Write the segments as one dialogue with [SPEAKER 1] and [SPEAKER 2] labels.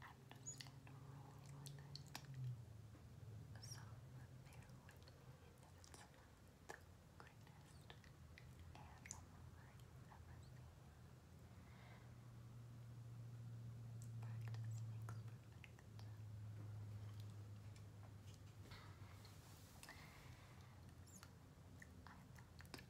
[SPEAKER 1] I'm just gonna roll with it. So bear with me if it's not the greatest animal I've ever seen. Practice makes perfect. So I thought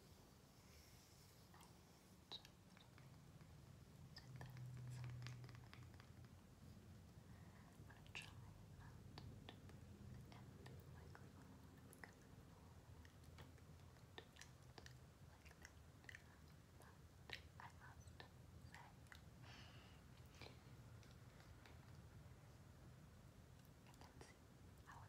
[SPEAKER 1] Right. I'm going to try not to breathe in the microphone because I don't want to melt like that. But I must say. And let's see how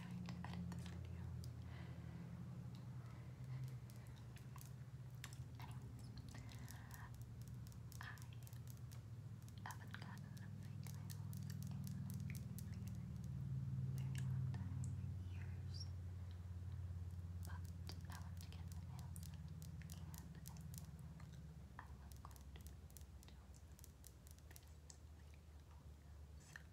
[SPEAKER 1] trying to edit this video. Anyways, I haven't gotten a fake nails in very, very long time, years. But I want to get my nails done, and I am going to do this video. So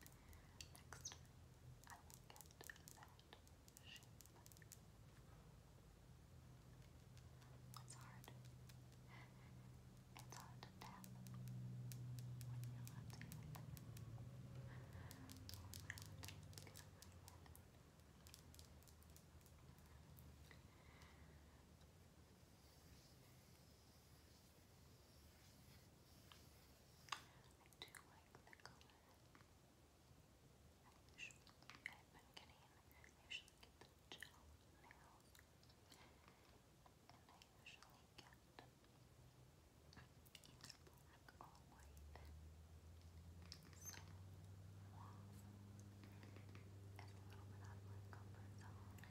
[SPEAKER 1] Next I will get that shape. It's hard. It's hard to tap when you're left handed. Or my left hand because I'm right handed. Okay. I do like the color. I usually, get the gel nails, and I usually get either black or white, some mauve, a little bit out of my comfort zone,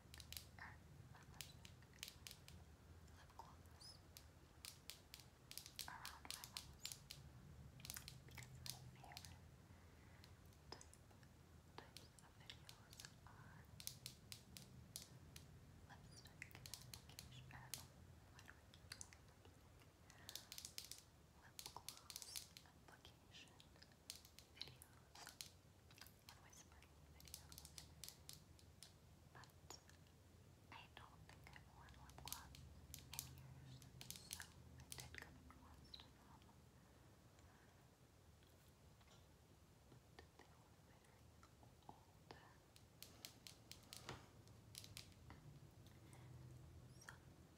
[SPEAKER 1] or not lipstick, lip gloss around my nose because my favorite type, types of videos are lipstick application, I don't know, why do I keep lipstick? Lip gloss application videos, on but I don't think I've worn lip gloss so I did come across to they were very old. Some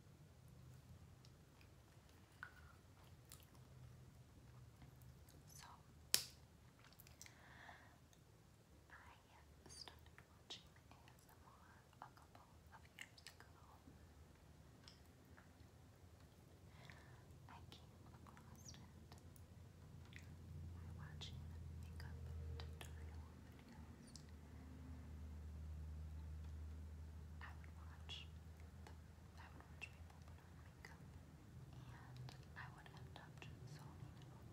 [SPEAKER 1] So I started watching ASMR a couple of years ago. I came across it by watching makeup tutorials I would watch the, I would watch people put on makeup and I would end up just zoning out,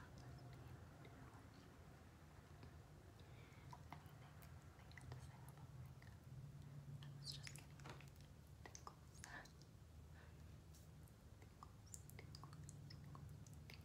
[SPEAKER 1] not listening to anything they had to say about makeup. I was just getting tickles. Tickles, tickles, tickles, tickles, tickles,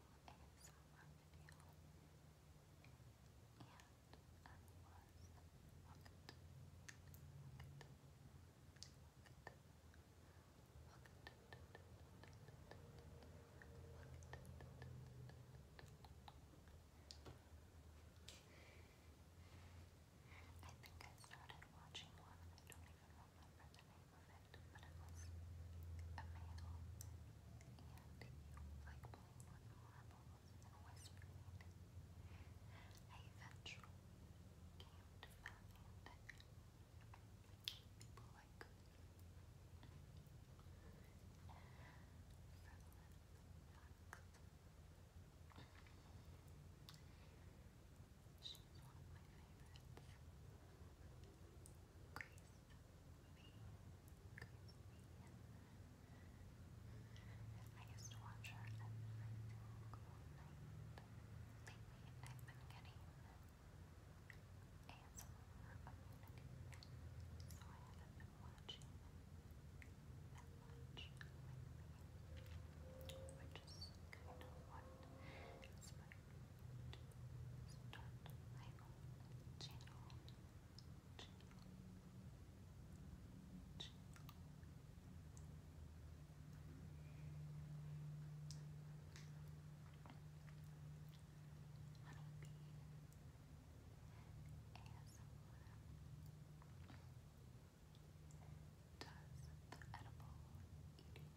[SPEAKER 1] ASMR video. I think I started watching one, even remember a male, and he with marbles and whispering. I eventually came to people like frivolous She's one of my favorites. Grace me. Grace me. I used to watch her every single night. Lately, I've been getting ASMR immunity, so I haven't been watching that much just kind of want inspired start channel. channel. Honeybee does the edible eating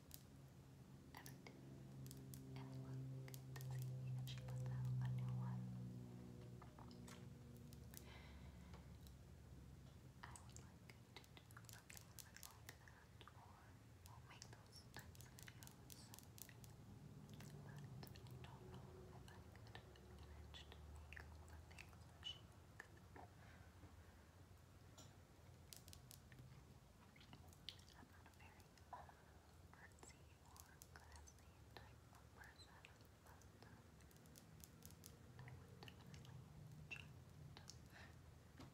[SPEAKER 1] every day, and I would like to do something like that, or make those types but I don't know if I could manage to make all the things she makes. I'm not a very um, artsy or classy type of person, but um, I would definitely try it. And she's funny and makes me laugh.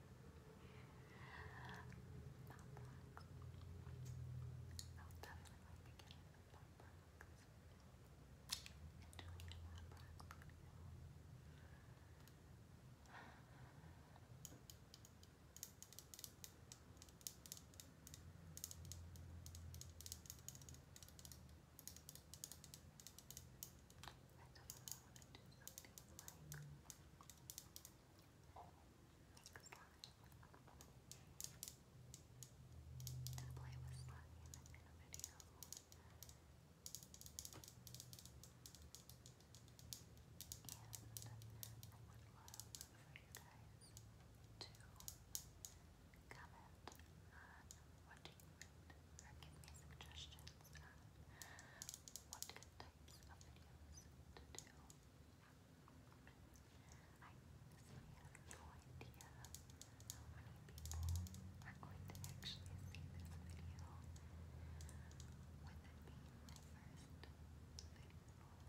[SPEAKER 1] Pop rocks. I'll definitely be getting the pop rocks. And doing the pop rocks I definitely want to do some things like slime. And play with slime in a video. And I would love for you guys to comment on what do you read or give me suggestions on what types of videos to do. I have no idea how many people are going to actually see this video with it being my first video. I'm not too sure how that works or YouTube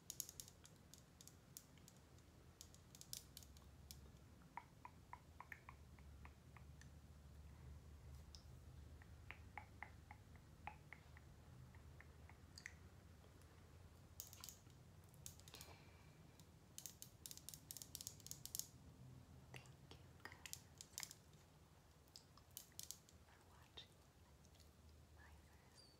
[SPEAKER 1] guys for watching my first